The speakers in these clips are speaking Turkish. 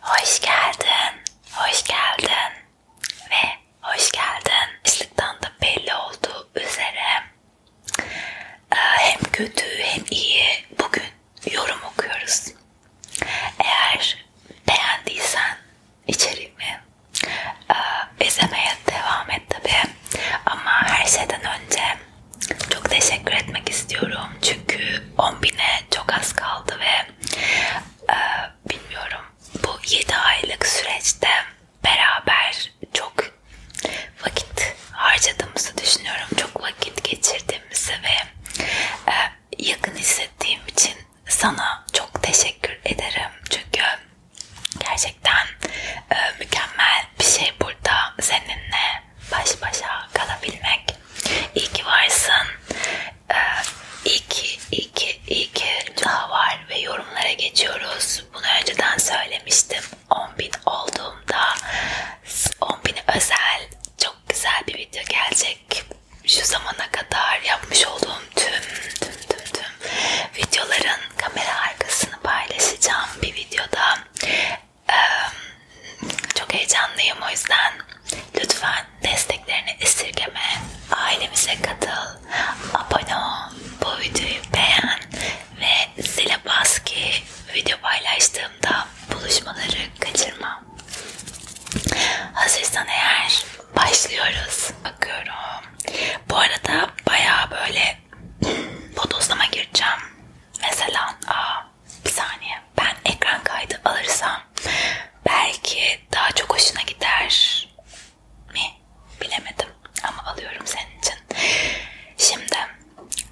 Hoş geldin, hoş geldin ve hoş geldin. Başlıktan da belli olduğu üzere e, hem kötü hem iyi bugün yorum okuyoruz. Eğer beğendiysen içeriğimi e, izlemeye devam et tabi ama her şeyden önce çok teşekkür etmek istiyorum çünkü 10.000'e çok az kaldı ve e, bilmiyorum bu 7 aylık süreçte beraber çok vakit harcadığımızı düşünüyorum. Çok vakit geçirdiğimizi ve e, yakın hissettiğim için sana çok teşekkür ederim çünkü gerçekten e, mükemmel bir şey burada seninle baş başa kalabilmek. İyi ki varsın. Ee, iyi ki, iyi ki, iyi ki daha var ve yorumlara geçiyoruz. Bunu önceden söylemiştim. 10.000 olduğumda 10.000 özel çok güzel bir video gelecek. Şu zamana kadar yapmış olduğum tüm tüm tüm tüm videoların kamera arkasını paylaşacağım bir videoda. Çok heyecanlıyım o yüzden lütfen desteklerini esirgeme. Ailemize katıl, abone ol, bu videoyu beğen ve zile bas ki video paylaştığımda buluşmaları kaçırma. Hazırsan eğer başlıyoruz. Bakıyorum. Bu arada baya böyle bodoslama gireceğim mesela aa, bir saniye ben ekran kaydı alırsam belki daha çok hoşuna gider mi bilemedim ama alıyorum senin için. Şimdi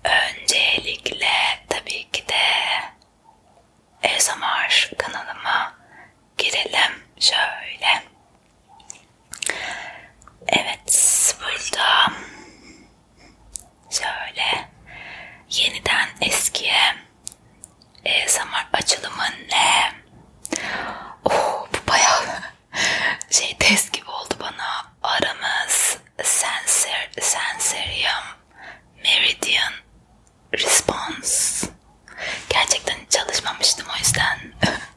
öncelikle tabii ki de ASMR kanalıma girelim şöyle Evet burada şöyle yeniden eskiye e, ASMR açılımı ne? Oh, bu bayağı şey test gibi oldu bana. Aramız sensör, sensorium meridian response. Gerçekten çalışmamıştım o yüzden.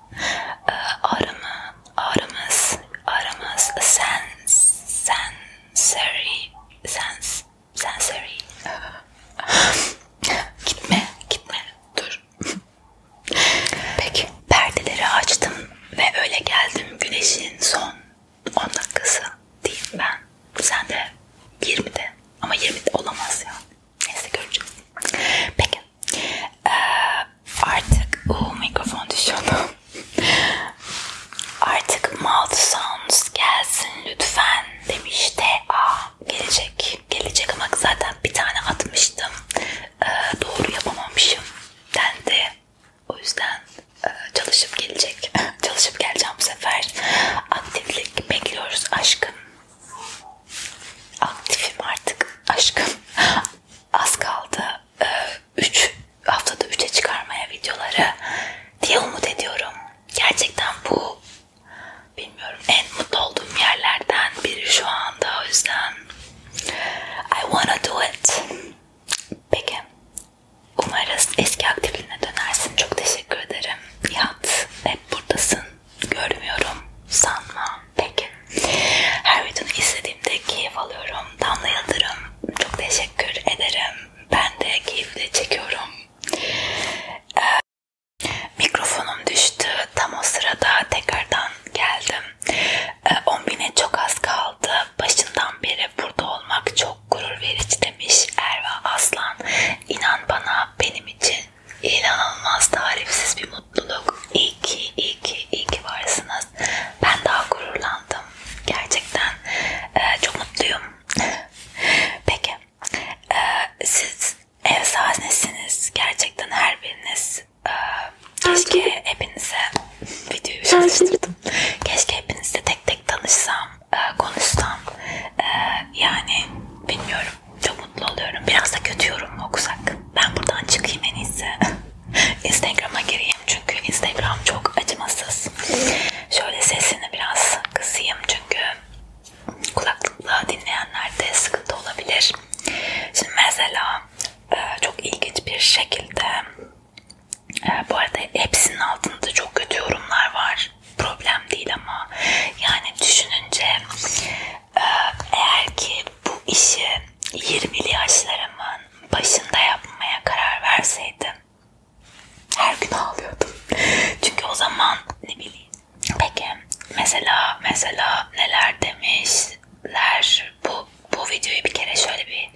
Ağrımı, ee, ağrımız, ağrımız sens, sensory, sens, sensory. gitme, gitme, dur. Peki, perdeleri açtım ve öyle geldim güneşin son 10 dakikası diyeyim ben. Sen de 20'de ama 20'de olamaz ya. Neyse göreceğiz. Peki. Ee, Artık uh, mikrofon düşüyordu. Artık mouth sounds gelsin lütfen demiş de aa gelecek gelecek ama zaten bir tane atmıştım ee, doğru yapamamışım dendi o yüzden e, çalışıp gelecek çalışıp geleceğim bu sefer aktiflik bekliyoruz aşkım aktifim artık aşkım az kaldı 3 haftada 3'e çıkarmaya videoları diye umut ediyorum. Gerçekten bu bilmiyorum en mutlu olduğum yerlerden biri şu anda o yüzden I wanna do it. Peki. Umarız eski aktifliğine dönersin. Çok teşekkür ederim. Nihat hep buradasın. Görmüyorum. Sanma. Peki. Her videonu izlediğimde keyif alıyorum. Damla Yıldırım çok teşekkür ederim. Ben de keyifle çekiyorum. Ee, mikrofonum düştü. Tam o sırada tekrardan geldim. Ee, 10.000'e çok az kaldı. Başından beri burada olmak çok gurur verici demiş Erva Aslan. İnan bana benim için inanılmaz tarifsiz bir mutluluk. İyi ki, iyi ki, iyi ki varsınız. Ben daha gururlandım. Gerçekten e, çok mutluyum. Peki, e, siz ev sahnesiniz. Gerçekten her biriniz. E, keşke hepinize videoyu çalıştırdım. Keşke hepinizle tek tek tanışsam, e, konuşsam. E, yani bilmiyorum. Çok mutlu oluyorum. Biraz da kötü yorum okusak ben buradan çıkayım en iyisi. Instagram'a gireyim çünkü Instagram çok acımasız. Şöyle sesini biraz kısayım çünkü kulaklıkla dinleyenlerde sıkıntı olabilir. Şimdi mesela e, çok ilginç bir şekilde e, bu arada hepsinin altında çok kötü yorumlar var. Problem değil ama yani düşününce eğer ki bu işi 20'li yaşlarımın başında yapmaya karar verseydim her gün ağlıyordum. Çünkü o zaman ne bileyim. Peki mesela mesela neler demişler bu bu videoyu bir kere şöyle bir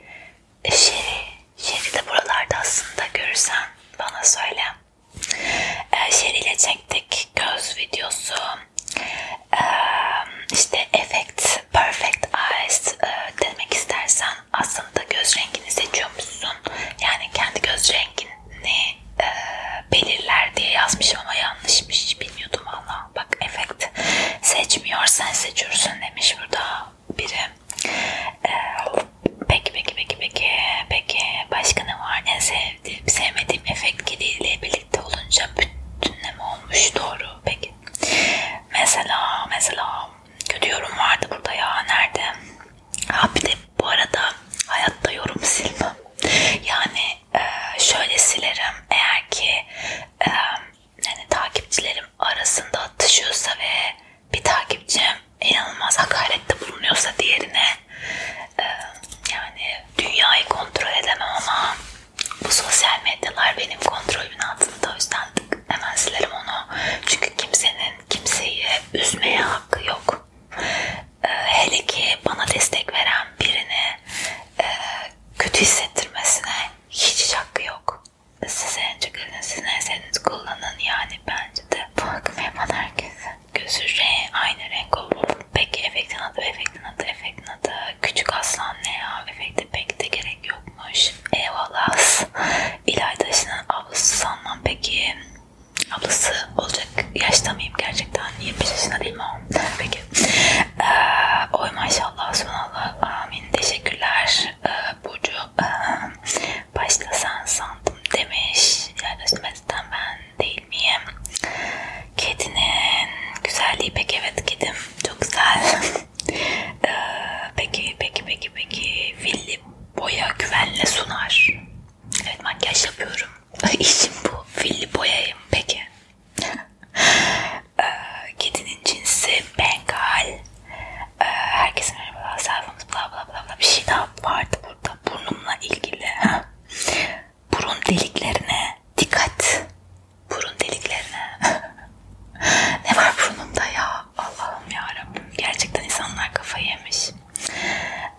e, Şeri, Şeri de buralarda aslında görürsen bana söyle. Ee, Şeri ile çektik göz videosu işte Effect Perfect Eyes demek istersen aslında göz rengini seçiyor musun? Yani kendi göz rengini belirler diye yazmışım ama yanlışmış bilmiyordum valla. Bak Effect seçmiyor sen seçiyorsun demiş burada biri. Peki peki peki peki peki başka ne var? En sevdiğim sevmediğim efekt ile ilgili birlikte olunca bütünleme olmuş doğru. Peki. Mesela mesela kötü yorum vardı burada ya nerede? Ha bir de bu arada hayatta yorum silmem. Yani e, şöyle silerim eğer ki e, yani takipçilerim arasında atışıyorsa ve bir takipçim inanılmaz hakarette bulunuyorsa diğerine e, yani dünyayı kontrol edemem ama bu sosyal medyalar benim kontrolümün altında o yüzden hemen silerim onu. Çünkü kimsenin kimseyi üzmeye hakkı yok. Ee, hele ki bana destek veren birini e, kötü hissettirmesine hiç hakkı yok. Size en çıkarın, sizin eserinizi kullanın yani bence de. Bu hakkım yapan herkes. Gözü renk, şey, aynı renk olur. Peki efektin adı efekt efektin adı, efektin adı Küçük Aslan ne ya? Efekte pek de gerek yokmuş. Eyvallah. İlayda'nın ablası sanmam peki. Ablası olacak yaşta mıyım gerçekten? 25 yaşında değil mi o? Peki. Ee, oy maşallah sunallah. Amin. Teşekkürler. Ee, Burcu. Ee, başta sen sandım demiş. İlayda Şimet'ten ben değil miyim? Kedinin güzelliği pek evet kedim çok güzel. ee, peki peki peki peki villi boya güvenle sunar. Evet makyaj yapıyorum. İşim bu. Villi boyayım peki. ee, kedinin cinsi Bengal. Ee, herkese merhaba sayfamız bla bla bla bla bir şey daha vardı burada burnumla ilgili burun deliklerine dikkat. Burun deliklerine. ne var burnumda ya? Allah'ım yarabbim. Gerçekten insanlar kafayı yemiş.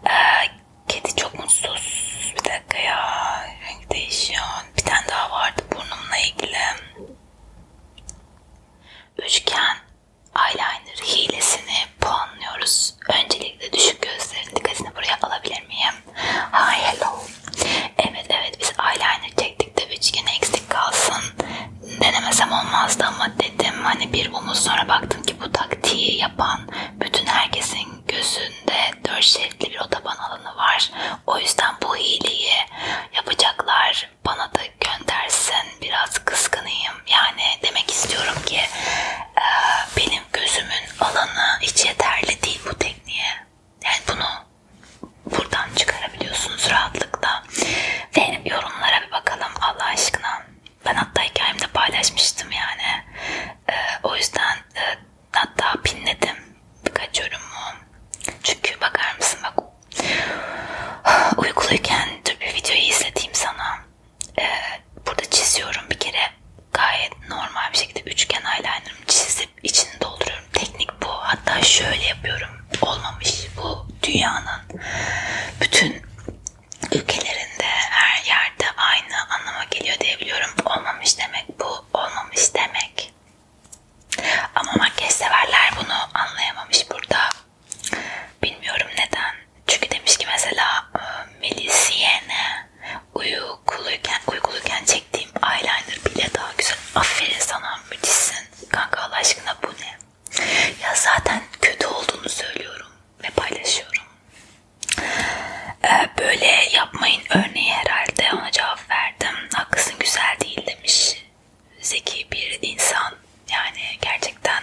Ee, kedi çok mutsuz. Bir dakika ya. Renk değişiyor. Bir tane daha vardı burnumla ilgili. Üçgen eyeliner hilesini puanlıyoruz. Öncelikle düşük gözlerin dikkatini buraya alabilir miyim? Hi hello. Evet evet biz eyeliner çektik de üçgen eksik kalsın. Denemesem olmazdı ama dedim hani bir omuz sonra baktım ki bu taktiği yapan bütün herkesin gözünde dört şeritli bir otoban alanı var. O yüzden bu hileyi yapacaklar bana da göndersin biraz kıskanayım. Yani demek istiyorum ki ee, benim gözümün alanı hiç yeterli değil bu tekniğe. Yani bunu buradan çıkarabiliyorsunuz rahatlıkla. Ve yorumlara bir bakalım Allah aşkına. Ben hatta hikayemde paylaşmıştım yani. Ee, o yüzden e, hatta pinledim birkaç yorumu. Çünkü bakar mısın bak uykuluyken dur bir videoyu izleteyim sana e, burada çiziyorum bir kere gayet normal bir şekilde üçgen eyelinerımı çizip içini dolduruyorum. Teknik bu. Hatta şöyle yapıyorum. Olmamış. Bu dünyanın bütün ülkelerinde her yerde aynı anlama geliyor diyebiliyorum. Olmamış demek bu. Olmamış demek. Ama makyaj severler bunu anlayamamış burada. Bilmiyorum neden. Çünkü demiş ki mesela e, Melisiyene uykuluyken, uykuluyken çektiğim eyeliner bile daha güzel. Aferin sana müthişsin. Kanka Allah aşkına bu ne? Ya zaten kötü olduğunu söylüyorum ve paylaşıyorum. Ee, böyle yapmayın örneği herhalde ona cevap verdim. Haklısın güzel değil demiş. Zeki bir insan yani gerçekten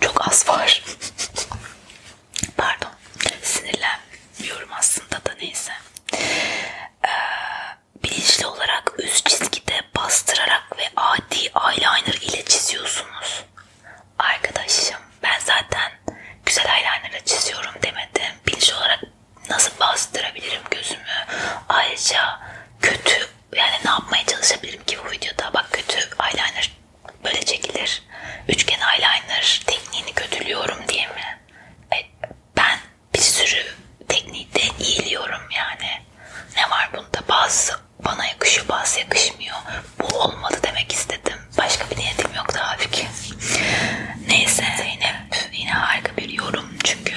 çok az var. Pardon. Sinirlenmiyorum aslında da neyse. Ee, bilinçli olarak üst çizgide bastırarak ve adi eyeliner ile çiziyorsunuz. Arkadaşım ben zaten güzel eyelinerla çiziyorum demedim. Bilinçli olarak nasıl bastırabilirim gözümü? Ayrıca kötü yani ne yapmaya çalışabilirim ki bu videoda? Bak kötü eyeliner böyle çekilir. Üçgen eyeliner tekniğini kötülüyorum diye mi? E, ben bir sürü teknikte iyiliyorum yani. Ne var bunda? Bazı bana yakışıyor, bazı yakışmıyor. Bu olmadı demek istedim. Başka bir niyetim yok tabii ki. Neyse Zeynep yine harika bir yorum çünkü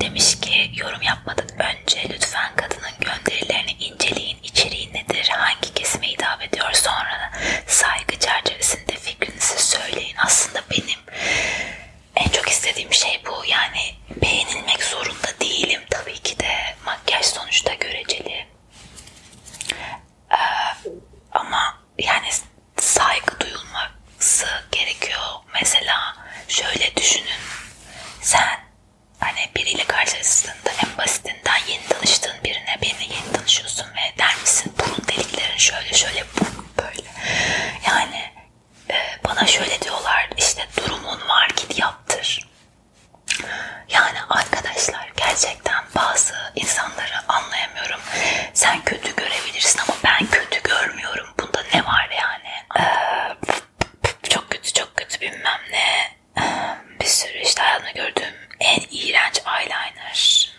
demiş ki yorum yapmadan önce lütfen kadının gönderilerini İnceleyin içeriği nedir, hangi kesime hitap ediyor sonra saygı çerçevesinde fikrinizi söyleyin. Aslında benim en çok istediğim şey bu yani beğenilmek zorunda değilim tabii ki de makyaj sonuçta göreceli ee, ama yani saygı duyulması gerekiyor mesela şöyle düşünün sen hani biriyle karşılaştığında en basitinden yeni tanıştığın birine birine yeni tanışıyorsun ve der misin burun deliklerin şöyle şöyle bu böyle yani e, bana şöyle diyorlar işte durumun var git yaptır yani arkadaşlar gerçekten bazı insanları anlayamıyorum sen kötü görebilirsin ama ben kötü görmüyorum bunda ne var yani ee, çok kötü çok kötü bilmem ne bir sürü işte hayatımda gördüğüm en iğrenç eyeliner.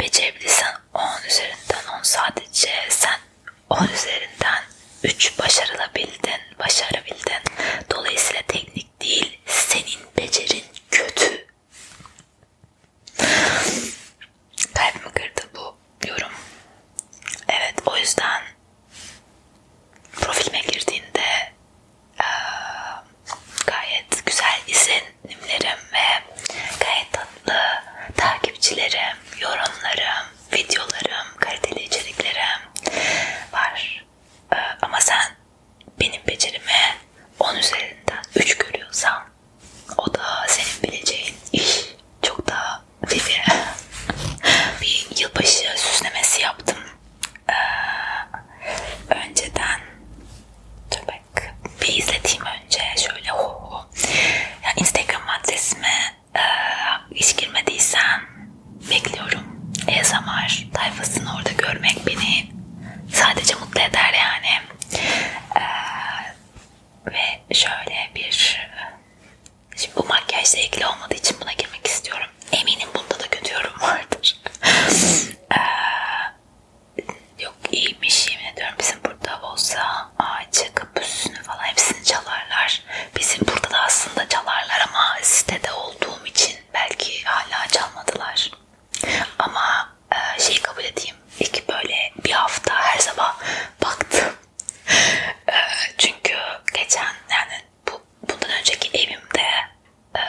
Becerebilirsen 10 üzerinden 10 sadece sen 10 üzerinden 3 başarılabildin, başarabildin. Dolayısıyla teknik değil, senin becerin kötü. Kalbimi kırdı bu yorum. Evet o yüzden Profilime girdiğinde e, gayet güzel izlenimlerim ve gayet tatlı takipçilerim, yorumlarım, videolarım, kaliteli içeriklerim var. E, ama sen benim becerime 10 üzerinden 3 görüyorsan o da senin bileceğin iş. Çok daha vivi. bir yılbaşı süslemesi yaptım e, önceden dur bak bir izleteyim önce şöyle ho ho yani Instagram adresime e, hiç girmediysen bekliyorum ASMR tayfasını orada görmek beni sadece mutlu eder yani e, ve şöyle bir Şimdi bu makyajla ilgili olmadığı için buna girmek istiyorum. Eminim bunda da kötü yorum vardır. ee, yok iyiymiş yemin ediyorum. Bizim burada olsa ağacı, kapüsünü falan hepsini çalarlar. Bizim burada da aslında çalarlar ama sitede olduğum için belki hala çalmadılar. Ama e, şeyi kabul edeyim. İlk böyle bir hafta her sabah baktım. Ee, çünkü geçen yani bu, bundan önceki evimde e,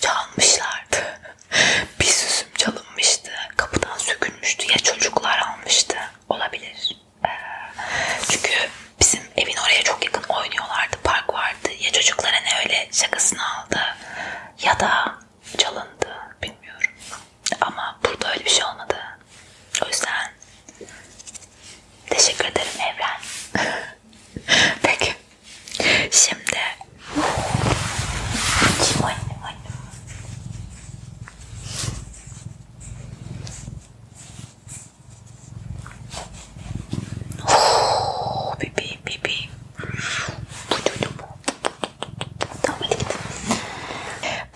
çalmışlardı. bir süsüm çalınmıştı. Kapıdan sökülmüştü. Ya çocuklar almıştı. Olabilir. E, çünkü bizim evin oraya çok yakın oynuyorlardı. Park vardı. Ya çocuklara ne öyle şakasını aldı ya da çalındı. Bilmiyorum. Ama burada öyle bir şey olmadı. O yüzden Teşekkür ederim Evren. Peki. Şimdi kim annem annem? Oh, bebeğim bebeğim.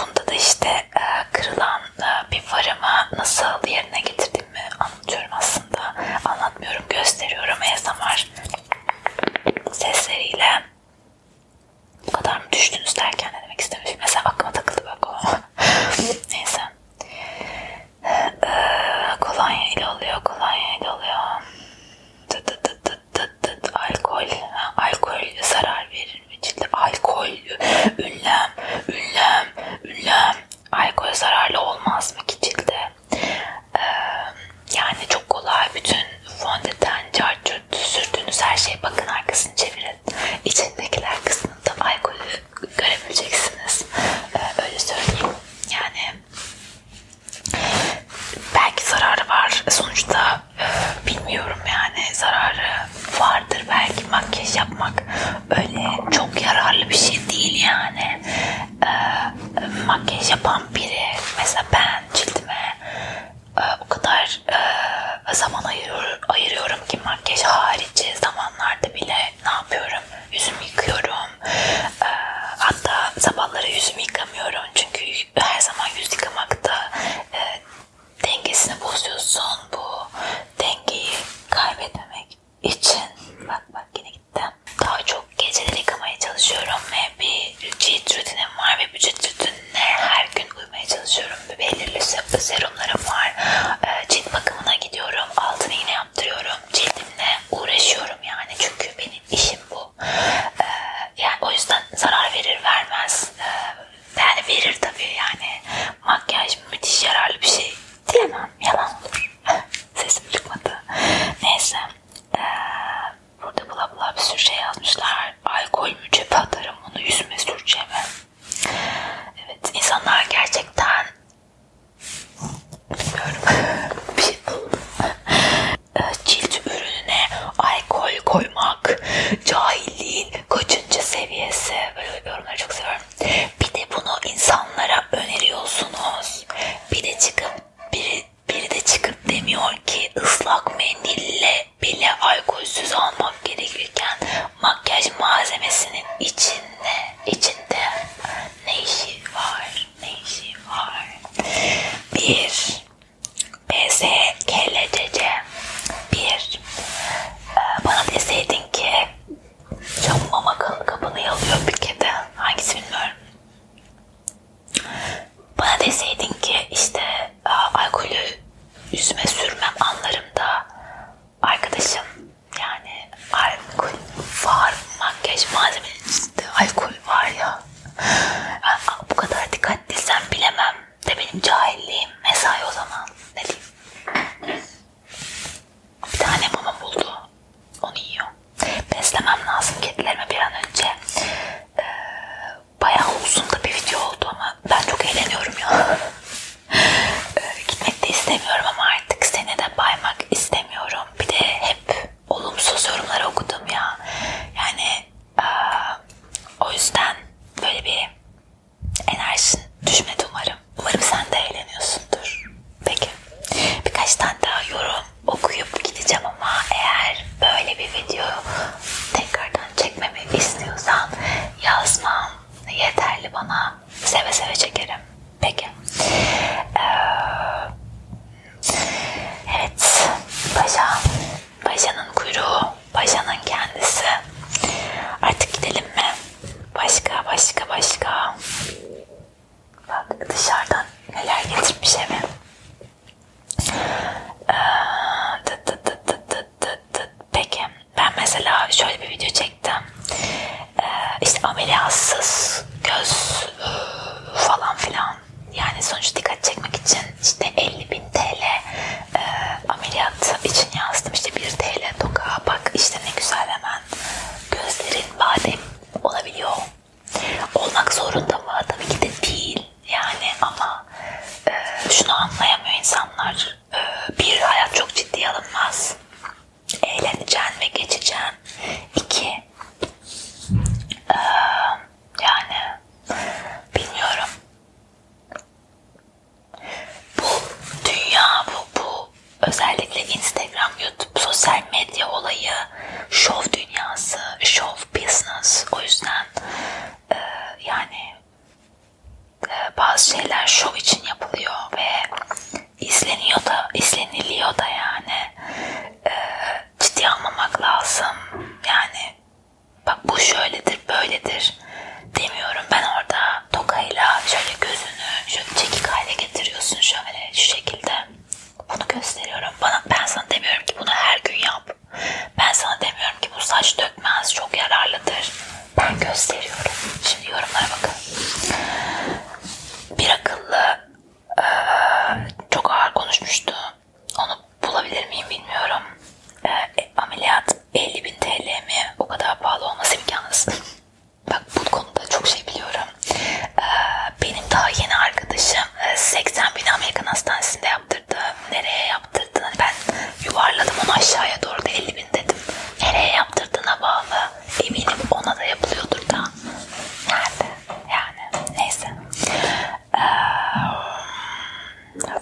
Bunda da işte e, kırılan e, bir farımı nasıl yerine getirdim mi anlatıyorum aslında. Anlatmıyorum, gösteriyorum ASMR sesleriyle. Bu kadar mı düştünüz derken ne demek istemişim. Mesela aklıma takıldı bak o. Neyse. E, kolonya ile oluyor, kolonya ile oluyor. Tıt tıt tıt tıt tıt alkol. Ha, alkol zarar verir mi cilde? Alkol geliyor. Ünlem, ünlem, ünlem. Alkol zararlı olmaz mı ki cilde? Ee, yani çok kolay bütün fondöten, çarçurt sürdüğünüz her şey bakın arkasını çevirin. İçindekiler kısmında alkolü görebileceksiniz. Ee, öyle söyleyeyim. Yani belki zararı var. Sonuçta e, bilmiyorum yani zararı vardır belki makyaj yapmak öyle çok yararlı bir şey değil yani. E, makyaj yapan biri mesela ben cildime e, o kadar e, zaman ayırıyorum, ayırıyorum ki makyaj harici zamanlarda bile ne yapıyorum? Yüzümü yıkıyorum. E, hatta sabahları yüzümü yıkamıyorum çünkü her zaman yüz yıkamakta e, dengesini bozuyorsun. Bu dengeyi kaybetmemek için bak bak yine gittim. Daha çok geceleri yıkamaya çalışıyorum ve bir cilt rutinim var ve bu cilt rutinine her gün uymaya çalışıyorum. Bir belirli serumlarım var. Ee, cilt bakımına gidiyorum. Altını yine yaptırıyorum. Cildimle uğraşıyorum yani. Çünkü benim işim bu. Ee, yani o yüzden zarar verir vermez. Ee, yani verir tabii yani. Makyaj müthiş yararlı bir şey diyemem. Yalan olur. Sesim çıkmadı. Neyse. Ee, burada bula bula bir sürü şey yazmışlar. Alkol mü cebe atarım onu yüzüme süreceğime. Evet insanlar gerçekten bilmiyorum bir şey ee, Cilt ürününe alkol koymak Cahilliğin kaçıncı seviyesi? Böyle yorumları çok seviyorum. Bir de bunu insanlara öneriyorsunuz. Bir de çıkıp biri, biri de çıkıp demiyor ki ıslak mendille bile alkolsüz almak gerekirken makyaj malzemesinin içinde içinde ne işi var? Ne işi var? Bir PSKLCC bir ee, bana deseydin ki camıma makanın kapını yalıyor bir kedi. Hangisi bilmiyorum. Bana deseydin ki işte e, alkolü yüzüme sürmem anlarım da arkadaşım yani alkol var makyaj malzemenin içinde alkol var ya. Yani, bu kadar dikkatli sen bilemem de benim cahilliğim mesai o zaman. Ne diyeyim? Bir tane mama buldu. Onu yiyor. Beslemem lazım kedilerime bir an önce. Ee, bayağı uzun da bir video oldu ama ben çok eğleniyorum ya. ee, gitmek de istemiyorum ama artık seni de baymak istemiyorum. Bir de hep olumsuz yorumları okudum ya. Yani e, o yüzden böyle bir enerjin düşmedi umarım. Umarım sen de eğleniyorsundur. Peki. Birkaç tane daha yorum okuyup gideceğim ama eğer böyle bir video tekrardan çekmemi istiyorsan yazmam yeterli bana. Seve seve çekerim. Peki. Ee, evet. Paşa. Paşa'nın kuyruğu paşanın kendisi. Artık gidelim mi? Başka başka başka. Bak dışarıdan neler getirmiş eve. Ee, Peki ben mesela şöyle bir video çektim. Ee, işte ameliyatsız göz falan filan. Yani sonuçta dikkat çekmek için işte 50 bin TL e, ameliyat için yazdım işte 1 TL toka bak işte ne güzel hemen gözlerin badem olabiliyor olmak zorunda mı? Tabii ki de değil yani ama e, şunu anlayamıyor insanlar e, bir hayat çok ciddi alınmaz eğleneceksin ve geçeceksin iki e, yani bilmiyorum bu dünya bu bu özellikle Instagram, YouTube, sosyal medya olayı, şov dünyası, şov business. O yüzden e, yani e, bazı şeyler şov için yapılıyor ve izleniyor da, izleniliyor da yani. E, ciddi almamak lazım. Yani bak bu şöyledir böyledir demiyorum ben orada tokayla şöyle gözünü şöyle çekik hale getiriyorsun şöyle şu şekilde bunu gösteriyorum bana ben sana demiyorum ki bunu her gün yap ben sana demiyorum ki bu saç dökmez çok yararlıdır ben gösteriyorum şimdi yorumlara bakın bir akıllı ee, çok ağır konuşmuştu onu bulabilir miyim bilmiyorum. Ee, e, ameliyat 50 bin TL mi? O kadar pahalı olması imkansız. Bak bu konuda çok şey biliyorum. E, benim daha yeni arkadaşım 80 e, bin Amerikan hastanesinde yaptırdı. Nereye yaptırdın? Hani ben yuvarladım onu aşağıya doğru da 50 bin dedim. Nereye yaptırdığına bağlı. Eminim ona da yapılıyordur da. Nerede? Yani neyse. Ee,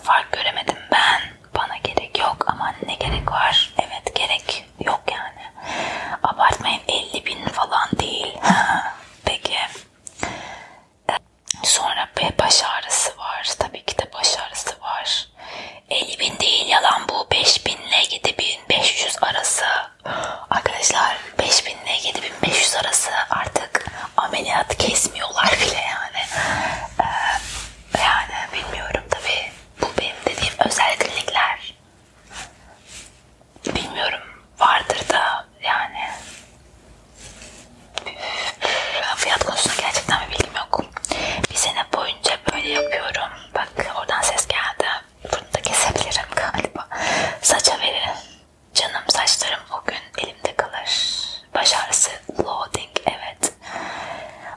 fark göremedim ben. Bana gerek yok ama ne gerek var? Evet gerek yok yani. Abartmayın 50 bin falan değil. Peki. Ee, sonra bir baş ağrısı var. Tabii ki de baş ağrısı var. 50 bin değil yalan bu. 5 bin ile 7500 arası. Arkadaşlar 5000 ile 7500 arası artık artık ameliyat kesmiyorlar bile yani. Ee, yani bilmiyorum tabii. Bu benim dediğim özel klinikler. Bilmiyorum vardır da yani fiyat konusunda gerçekten bir bilgim yok. Bir sene boyunca böyle yapıyorum. Bak oradan ses geldi. Bunu da kesebilirim galiba. Saça verin. Canım saçlarım o gün elimde kalır. Baş ağrısı loading evet.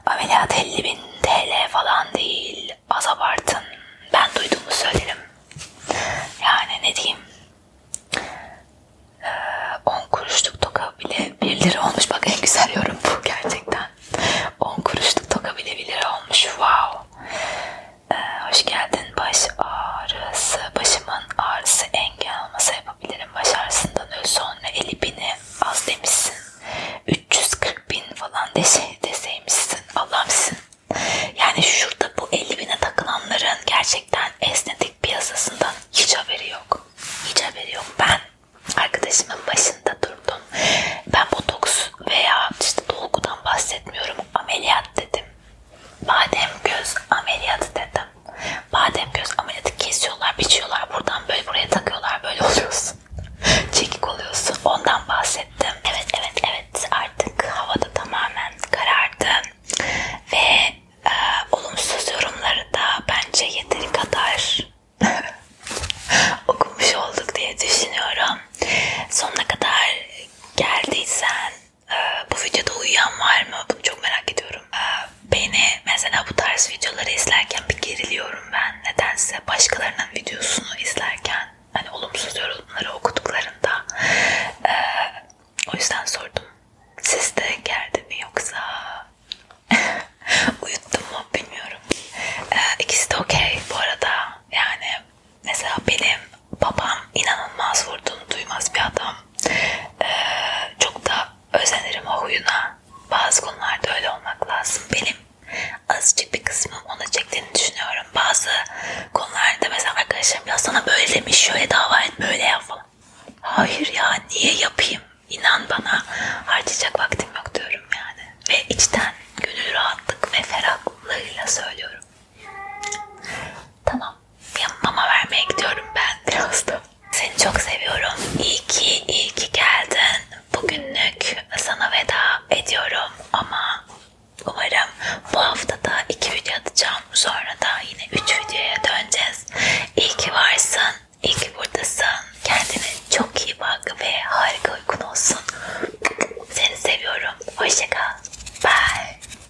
Ameliyat 50 bin TL falan değil. Az abartın. Ben duyduğumu söylerim. Yani ne diyeyim. 10 ee, kuruşluk toka bile 1 lira olmuş. Bak en güzel yorum bu gerçekten. 10 kuruşluk toka bile 1 lira olmuş. Wow. Ee, hoş geldin baş ağrısı. Başımın ağrısı engel olması hep yapabilirim. Başarısından öl sonra eli bini az demişsin. 340 bin falan dese, deseymişsin. Allah'ımsın. Yani şurada bu 50 bine takılanların gerçekten esnetik piyasasından hiç haberi yok. Hiç haberi yok. Ben arkadaşımın başında durdum. Ben botoks veya işte dolgudan bahsetmiyorum. Ameliyat dedim badem göz ameliyatı dedim. Badem göz ameliyatı kesiyorlar, biçiyorlar. Buradan böyle buraya takıyorlar. Böyle oluyorsun. Çekik oluyorsun. Ondan bahsettim. Evet evet evet artık havada tamamen karardı. Ve e, olumsuz yorumları da bence yeteri kadar okumuş olduk diye düşünüyorum. Sonuna kadar geldiysen ee, bu videoda uyuyan var mı? Bunu çok merak ediyorum. Ee, beni mesela bu tarz videoları izlerken bir geriliyorum ben. Nedense başkalarının videosunu izlerken hani olumsuz yorumları okuduklarında ee, o yüzden sordum. Siz de geldi mi yoksa uyuttum mu bilmiyorum. İkisi de okey bu arada. Yani mesela benim babam inanılmaz vurduğunu duymaz bir adam. Ee, çok da özenirim o huyuna. Bazı konularda öyle olmak lazım. Benim azıcık bir kısmım ona çektiğini düşünüyorum. Bazı konularda mesela arkadaşlarım ya sana böyle demiş, şöyle dava et, böyle yap falan. Hayır ya niye yapayım? İnan bana harcayacak vaktim yok diyorum yani. Ve içten gönül rahatlık ve ferahlığıyla söylüyorum. Tamam mama vermeye gidiyorum ben birazdan. Seni çok seviyorum. İyi ki, iyi ki geldin. Bugünlük sana veda ediyorum ama umarım bu hafta da iki video atacağım. Sonra da yine üç videoya döneceğiz. İyi ki varsın, iyi ki buradasın. Kendine çok iyi bak ve harika uykun olsun. Seni seviyorum. Hoşçakal. Bye.